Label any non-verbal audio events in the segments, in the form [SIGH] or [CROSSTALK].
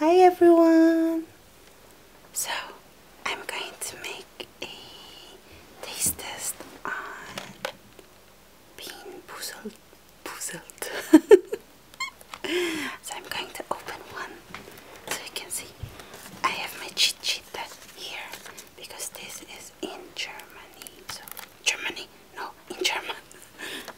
Hi everyone! So, I'm going to make a taste test on being puzzled. puzzled. [LAUGHS] so I'm going to open one so you can see. I have my cheat sheet here because this is in Germany. So, Germany? No, in German. [LAUGHS]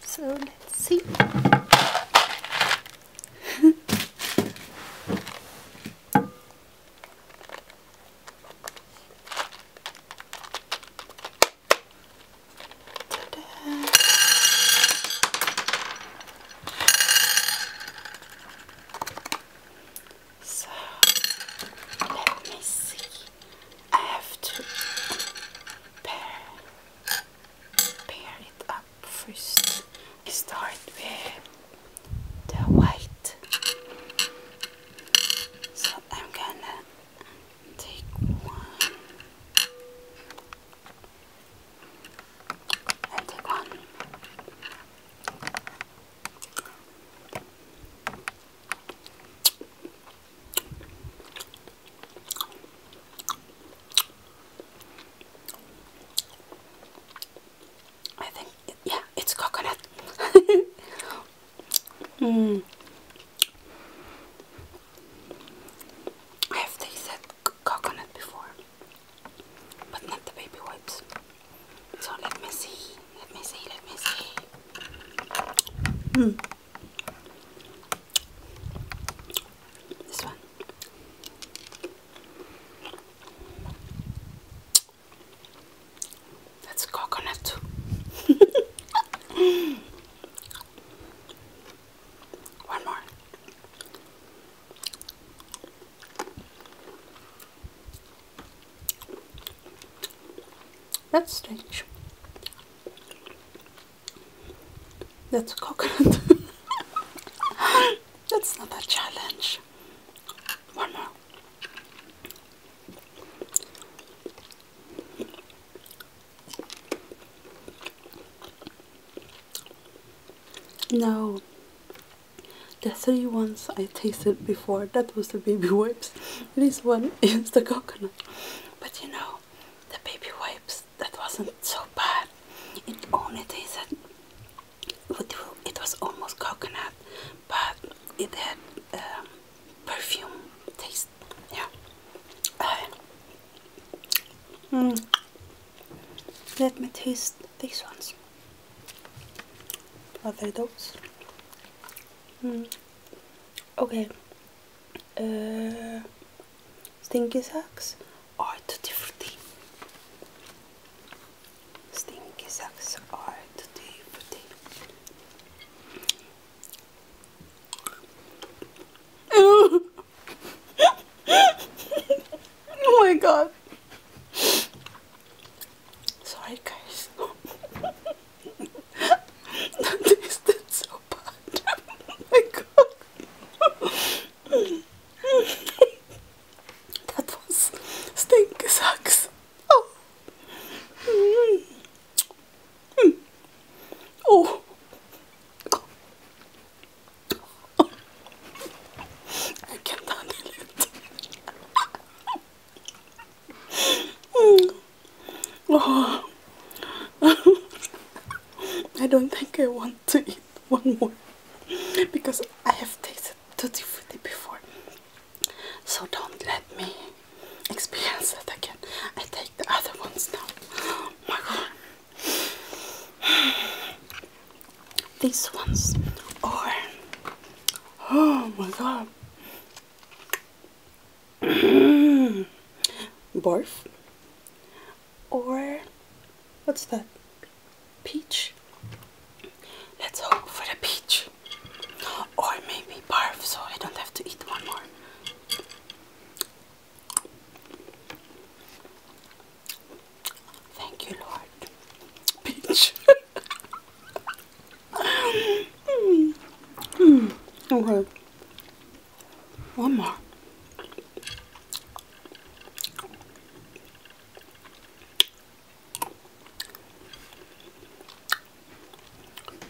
So let's see. [LAUGHS] so let me see. I have to pair, pair it up first. I start with the white. So I'm gonna take one and take one. I think, yeah, it's coconut. [LAUGHS] mm. I have tasted coconut before, but not the baby wipes. So let me see, let me see, let me see. Mm. This one. That's coconut. [LAUGHS] one more. That's strange. That's coconut. [LAUGHS] That's not a challenge. One more. No, the three ones I tasted before, that was the baby wipes. This one [LAUGHS] is the coconut. But you know, the baby wipes that wasn't so bad. It only tasted it was almost coconut, but it had um, perfume taste. Yeah. Uh, mm. Let me taste these ones. Are are those? Mm. Okay, uh, stinky Socks are Tutti Frutti. Stinky Socks are Tutti [LAUGHS] Frutti. oh my god. Sorry guys. [LAUGHS] that tasted so bad. oh my god. that was [LAUGHS] stink sucks. Oh. Oh. I can't handle it. [LAUGHS] Mm. Oh. [LAUGHS] I don't think I want to eat one more because I have tasted too different before. So don't let me experience that again. I take the other ones now. my god. [SIGHS] These ones are oh my god. [SIGHS] barf or what's that peach let's hope for the peach or maybe barf so I don't have to eat one more thank you Lord peach [LAUGHS] mm. Mm. okay one more.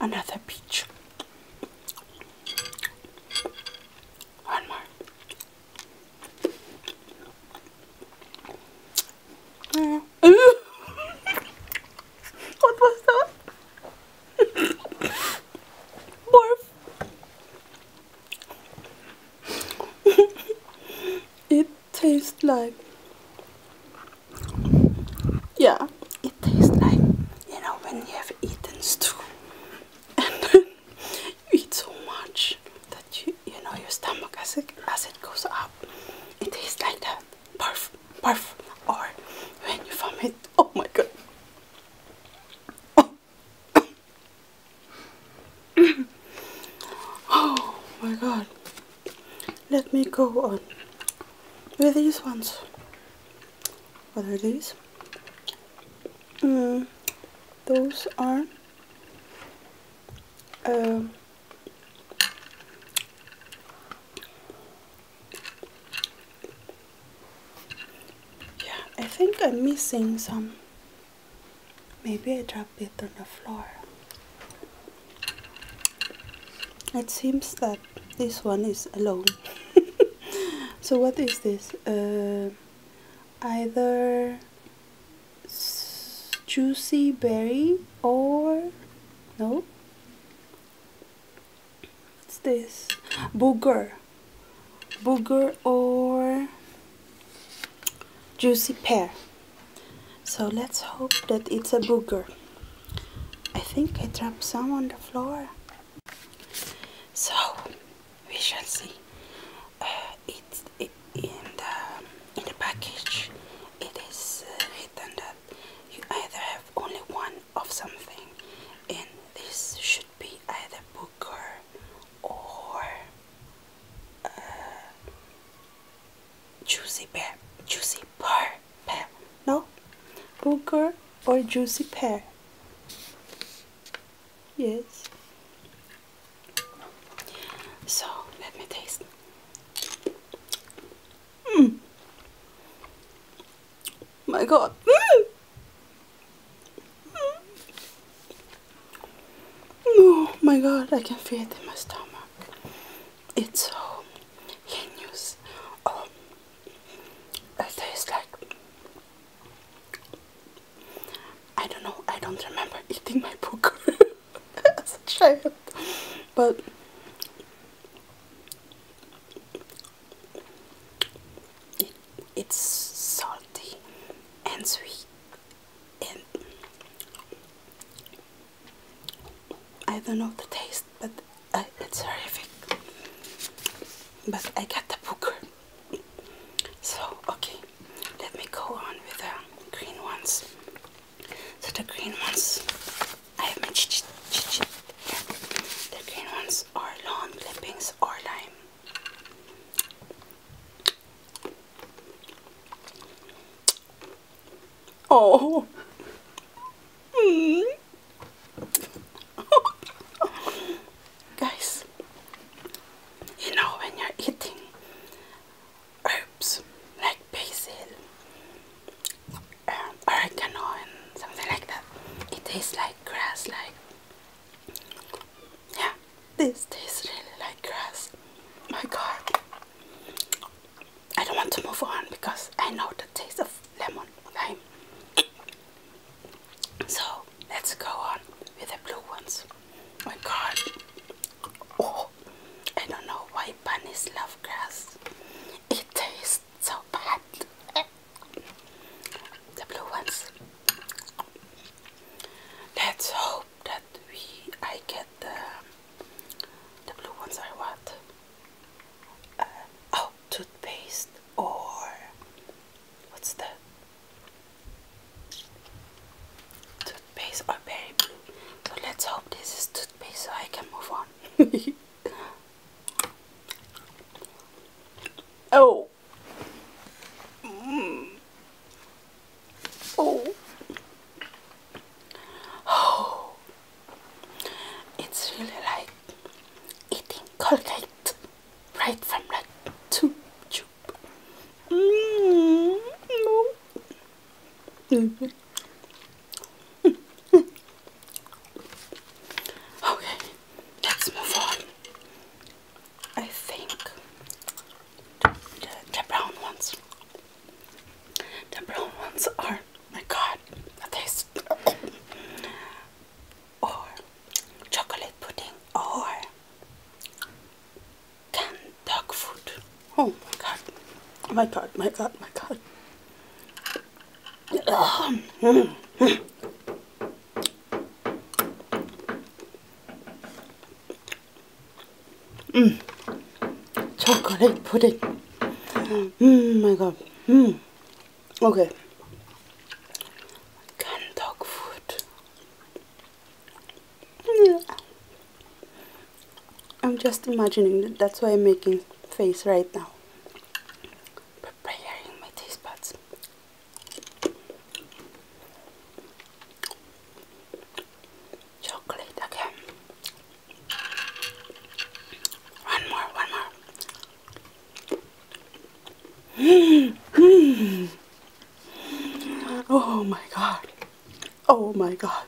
Another peach. One more. Mm. [LAUGHS] what was that? Barf. it tastes like, yeah, it tastes like, you know, when you have eaten stew and you eat so much that you, you know, your stomach acid it, as it goes up, it tastes like that. Barf, barf, or when you vomit, oh my god. [COUGHS] oh my god. Let me go on with these ones. What are these? Mm, those are um, yeah, I think I'm missing some. Maybe I dropped it on the floor. It seems that this one is alone. [LAUGHS] so what is this? Uh, either juicy berry or no what's this? Booger. Booger or juicy pear. So let's hope that it's a booger. I think I dropped some on the floor. So we shall see. Uh, it's in the in the package. It is uh, written that you either have only one of something and this should be either booker or uh, juicy pear juicy pear no booker or juicy pear yes so let me taste mm my god. Oh my god, I can feel it in my stomach. It's so heinous. Oh. it tastes like. I don't know, I don't remember eating my poker [LAUGHS] as a child. But it's salty and sweet, and I don't know the taste, but it's horrific. But I got the booker. So, okay, let me go on with the green ones. So, the green ones, I have my ch the green ones clippings or lawn clippings or lime. Oh. Hmm. [LAUGHS] Guys, you know when you're eating herbs like basil, um, oregano, and something like that, it tastes like grass, like yeah, this tastes really like grass. My God, I don't want to move on because I know the taste of lemon lime. So let's go on with the blue ones. My God, oh, I don't know why bunnies love grass. It tastes so bad the blue ones. Let's hope that we I get the the blue ones I want. Uh, oh, toothpaste or what's the toothpaste or berry blue? So let's hope this is toothpaste so I can move on. [LAUGHS] Oh. Mm. Oh. Oh. It's really like eating Colgate right from the tube tube. Mm. No. [LAUGHS] okay let's move on. I think the, the, the brown ones. The brown ones are my god, the taste or chocolate pudding or canned dog food. Oh my god. My god, my god, my god. Chocolate pudding. Mm, my god. Mm. Okay. Gun dog food. I'm just imagining that that's why I'm making face right now. Preparing my taste buds. Chocolate again. One more, one more. [GASPS] oh my god. Oh my god.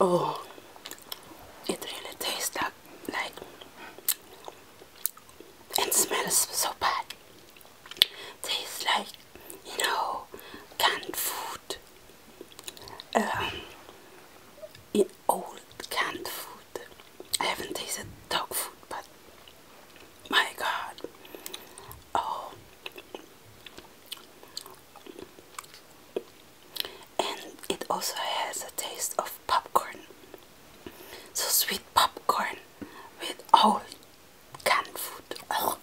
Oh, it really tastes like and smells so bad. Tastes like, you know, canned food. Um, in old canned food. I haven't tasted dog food, but my god. Oh. And it also has a taste of popcorn. So sweet popcorn with all canned food. Oh.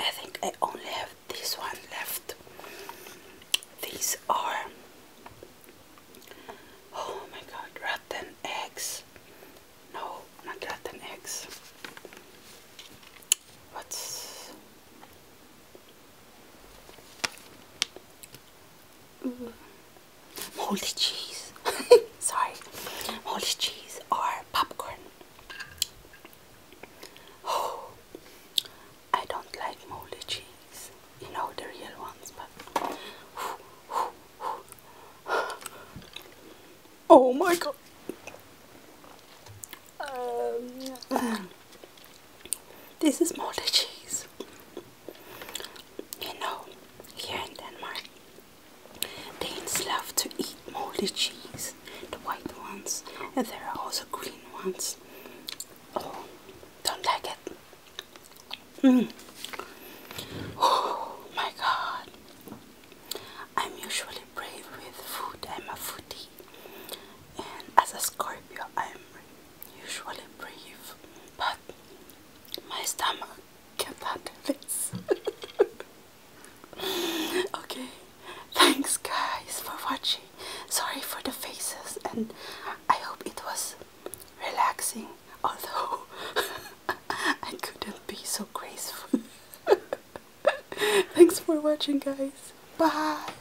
I think I only have this one left. These are oh my god, rotten eggs. No, not rotten eggs. What's Mm. cheese [LAUGHS] sorry moldy cheese or popcorn oh I don't like moldy cheese you know the real ones but [GASPS] oh my god um, this is moldy cheese. You know, here in Denmark, Danes love to eat moldy cheese, the white ones, and there are also green ones. Oh, don't like it. Mm. Oh my god. I'm usually brave with food. I'm a foodie. And as a Scorpio, I'm usually brave, but my stomach can't handle this. [LAUGHS] okay, thanks guys for watching. Sorry for the faces, and I hope it was relaxing, although [LAUGHS] I couldn't be so graceful. [LAUGHS] thanks for watching, guys. Bye.